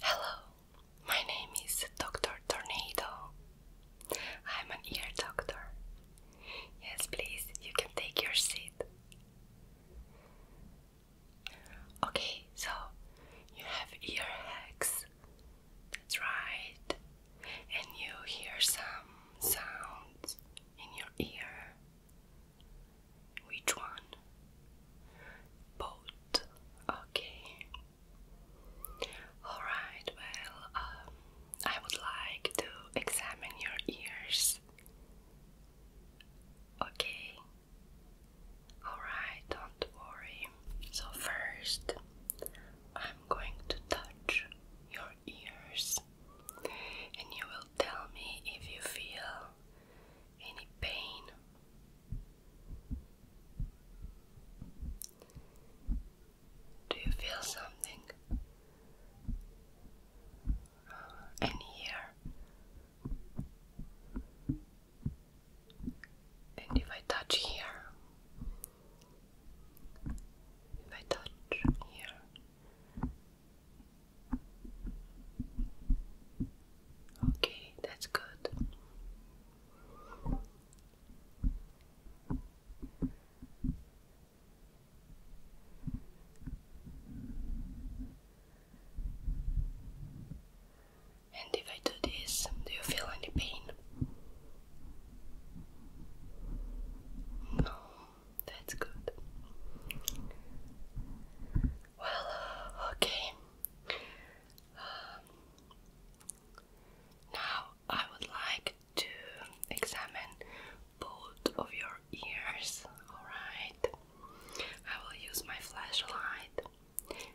Hello, my name is Dr. Tornado. I'm an ear doctor. Yes, please, you can take your seat. Okay, so you have ear hacks. That's right. And you hear some sounds in your ear. Which one? Both. Okay. Alright, well, um, I would like to examine your ears. Okay. Alright, don't worry. So, first, I'm going to touch your ears and you will tell me if you feel any pain. Do you feel something? Uh, and here, and if I touch here, if I touch here, Okay, that's good. And if I do this, do you feel any pain? No, that's good. Well, uh, okay. Um, now I would like to examine both of your ears, alright? I will use my flashlight.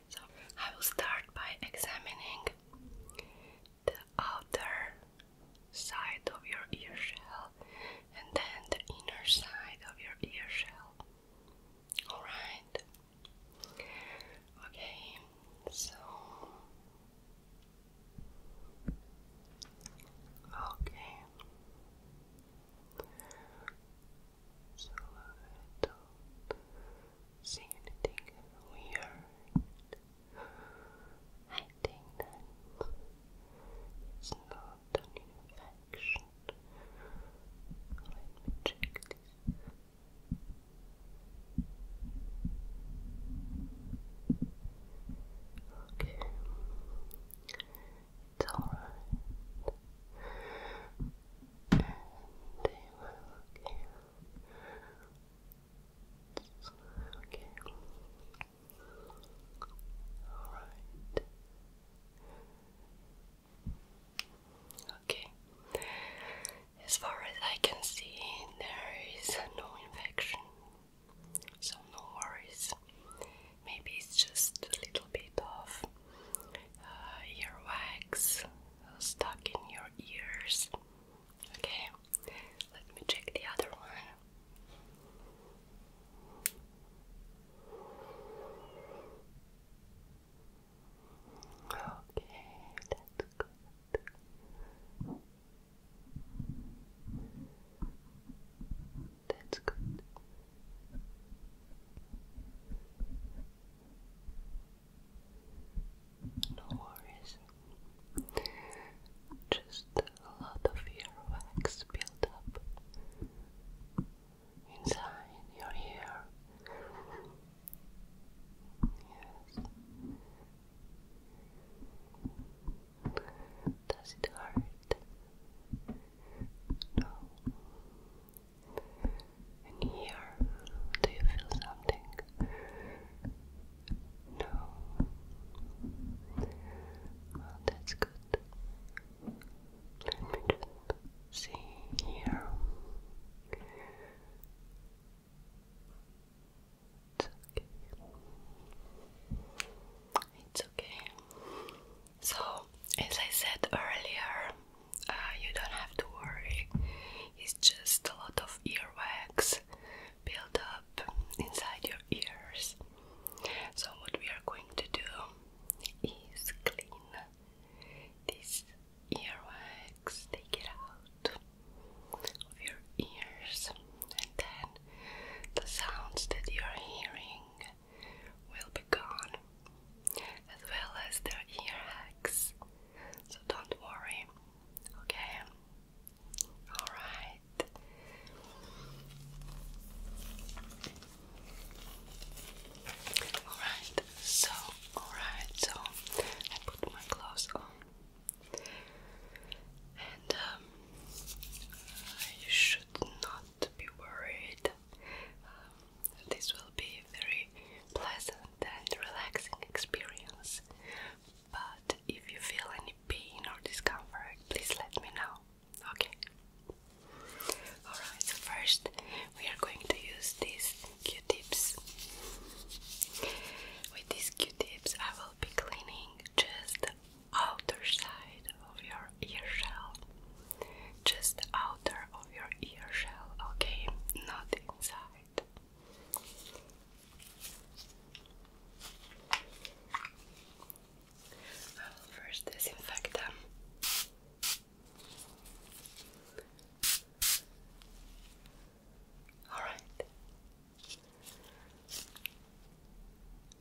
So I will start by examining the outer side of your ear shell and then the inner side of your ear shell. Alright. Okay, so. Okay. So I don't see anything weird. I think that it's not an direction. Let me check this. Okay, it's all right. Uh, okay. All right. Okay. As far as I can see, there is no infection, so no worries. Maybe it's just a little bit of uh, earwax stuck in your ears. Okay, let me check the other one. Okay, that's good. That's good. No worries. Just a lot of wax built up inside your ear. Yes. Does it hurt? No. And here, do you feel something? No. Well, that's good. Let me just see here. It's okay. It's okay. So, as I said earlier, uh, you don't have to worry. It's just a lot of earwax build up inside your ears. So, what we are going to do is clean this earwax, take it out of your ears, and then the sounds that you are hearing will be gone, as well as the earwax. So, don't worry, okay? Alright. Alright, so, alright, so I put my gloves on. And you um, should not be worried. Um, this will be a very pleasant and relaxing experience. But if you feel any pain or discomfort, please let me know. Okay. Alright, so first we are going to use these q-tips. With these q-tips I will be cleaning just outer side of your ear shell. Just outer of your ear shell, okay? Not inside. I will first disinfect them. All right.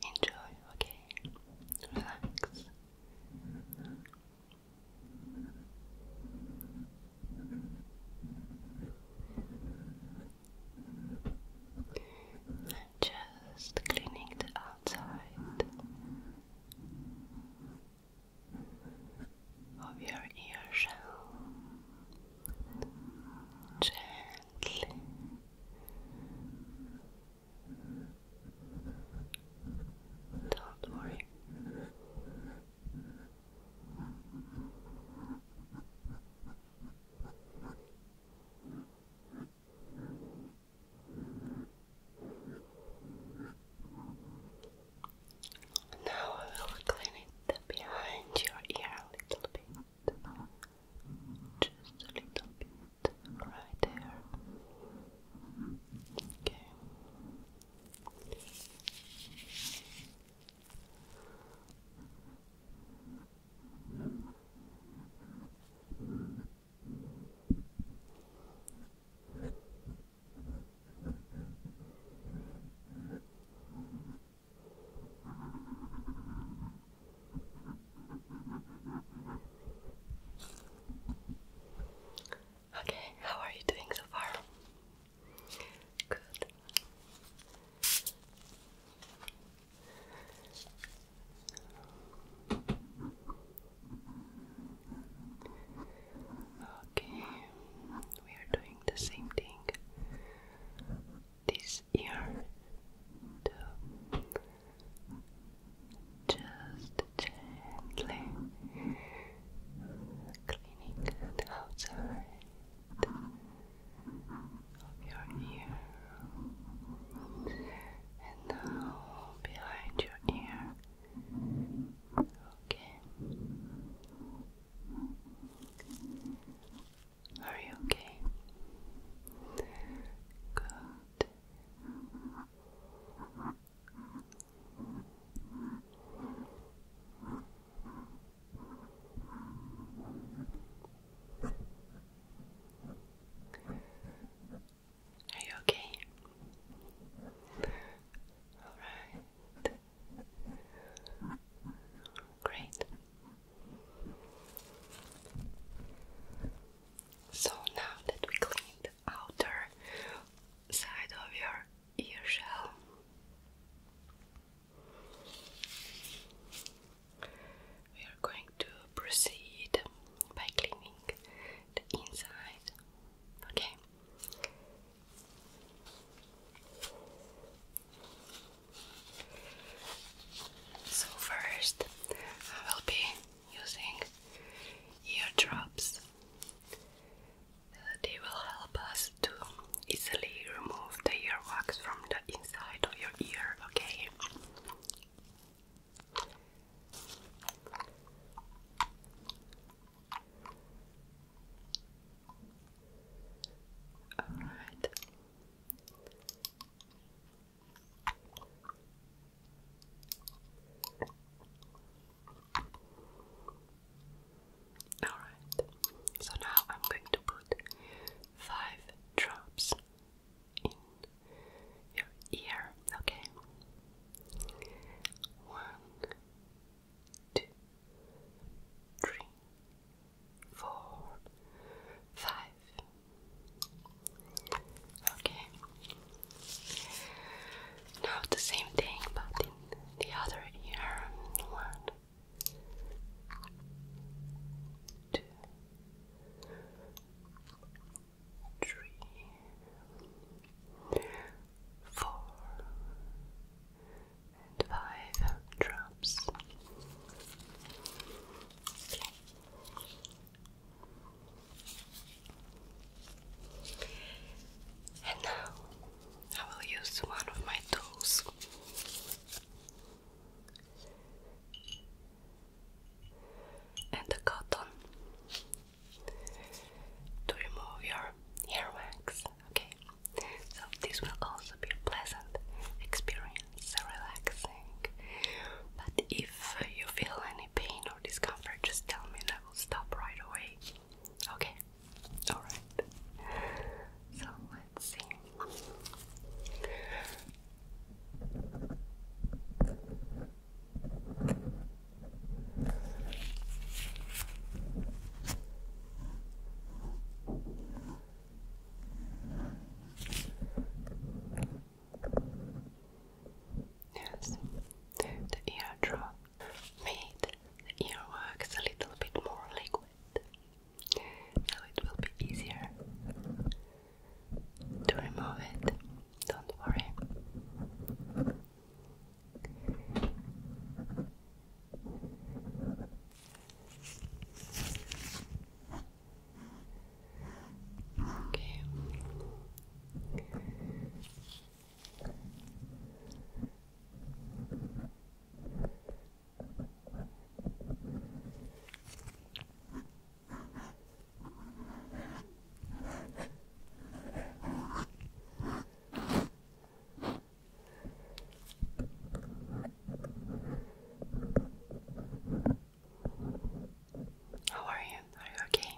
Enjoy, okay? Relax just cleaning the outside of your ear shell gently. Don't worry. Now I will clean it behind your ear a little bit. Just a little bit right there. Okay. Okay, how are you doing so far? Good. Okay, we are doing the same thing this year. too. Just gently cleaning the outside of your ear, and now behind your ear. Okay. Are you okay? Good. Are you okay? Alright. Great. So now that we cleaned the outer side of your ear shell, we are going to proceed by cleaning the inside. Okay. So first, I will be using ear drops. They will help us to easily remove the earwax from the inside of your ear, okay? Alright. Alright, so now I'm going to put five drops in your ear, okay? One, two, three, four, five. Okay. Now the same thing, but in the other ear. One, two, three, four, and five drops. And now I will use one of my tools and the cotton to remove your earwax. Okay, so this will also be a pleasant experience, relaxing. But if you feel any pain or discomfort, just tell me and I will stop right away. Okay. Alright. So let's see. Yes, the eardrop made the earwax a little bit more liquid so it will be easier to remove it. Don't worry. Okay. How are you? Are you okay?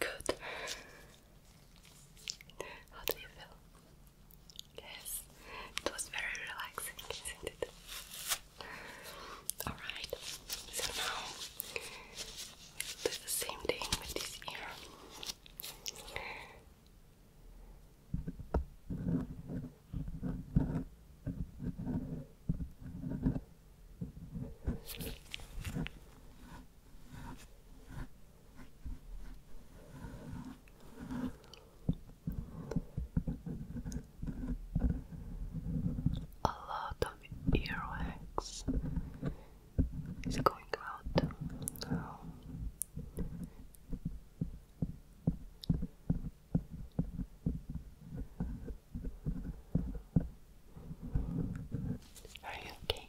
Good. How do you feel? Yes, it was very relaxing, isn't it? Alright, so now do the same thing with this ear. A lot of earwax is going out Are you okay?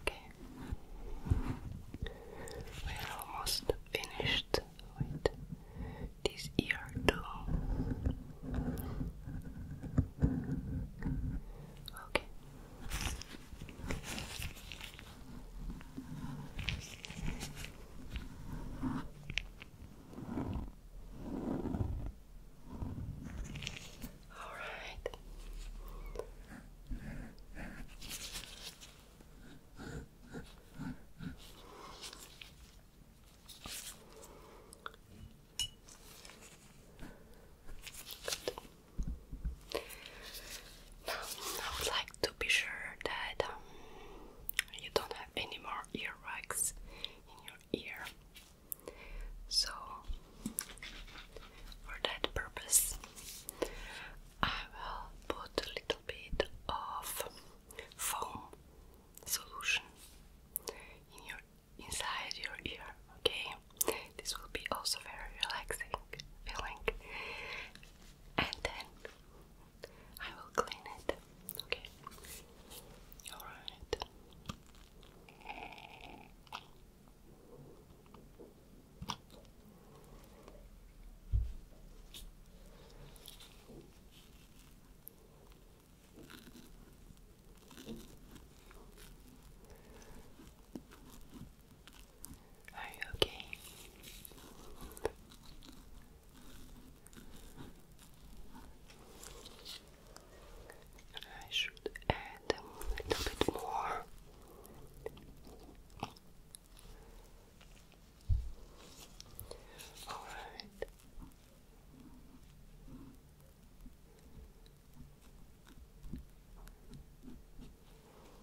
Okay, we're almost finished with this ear too. Okay. All right. Good. I would like to be sure that um, you don't have any more earwax in your ear. So, for that purpose, I will put a little bit of foam solution in your inside your ear. Okay, this will be also very relaxing feeling and then I will clean it. Okay. All right. Okay. Are you okay? I should add a little bit more. All right.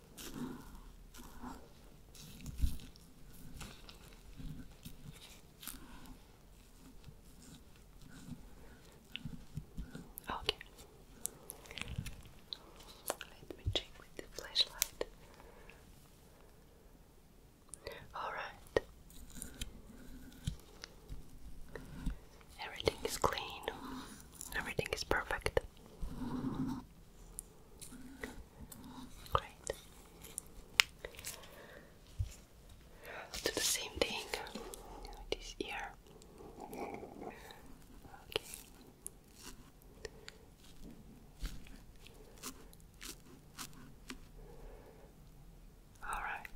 Okay. Let me check with the flashlight. All right. Everything is clean. Everything is perfect. Great. do the same thing with this ear. Okay. All right.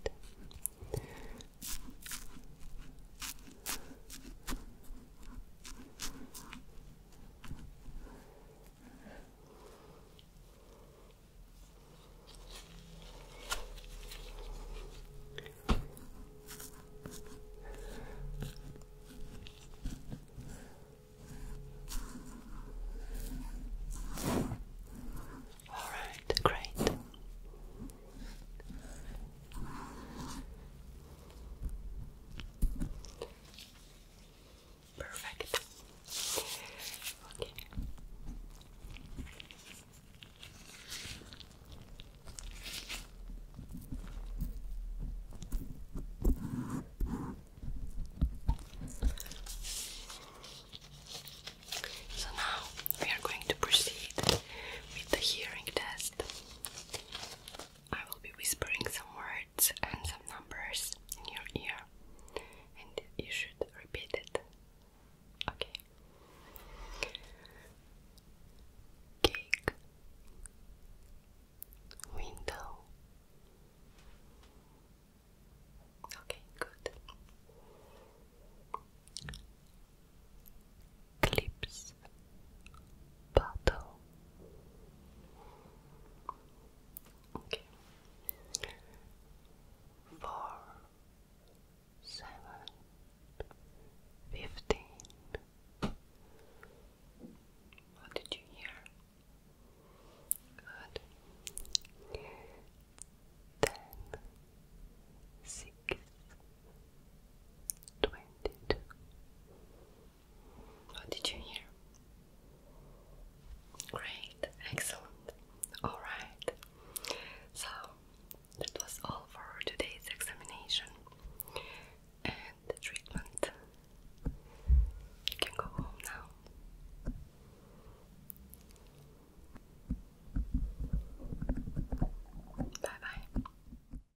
All right, great. Perfect. Okay. So now we are going to proceed with the hearing test. I will be whispering some words and some numbers in your ear, and you should repeat it. Okay. Cake. Window. Okay, good clips bottle. Okay. Four, seven, fifteen. What did you hear? Good. Ten, six, twenty-two, what did you hear? Great, excellent. Alright, so that was all for today's examination and the treatment. You can go home now. Bye bye.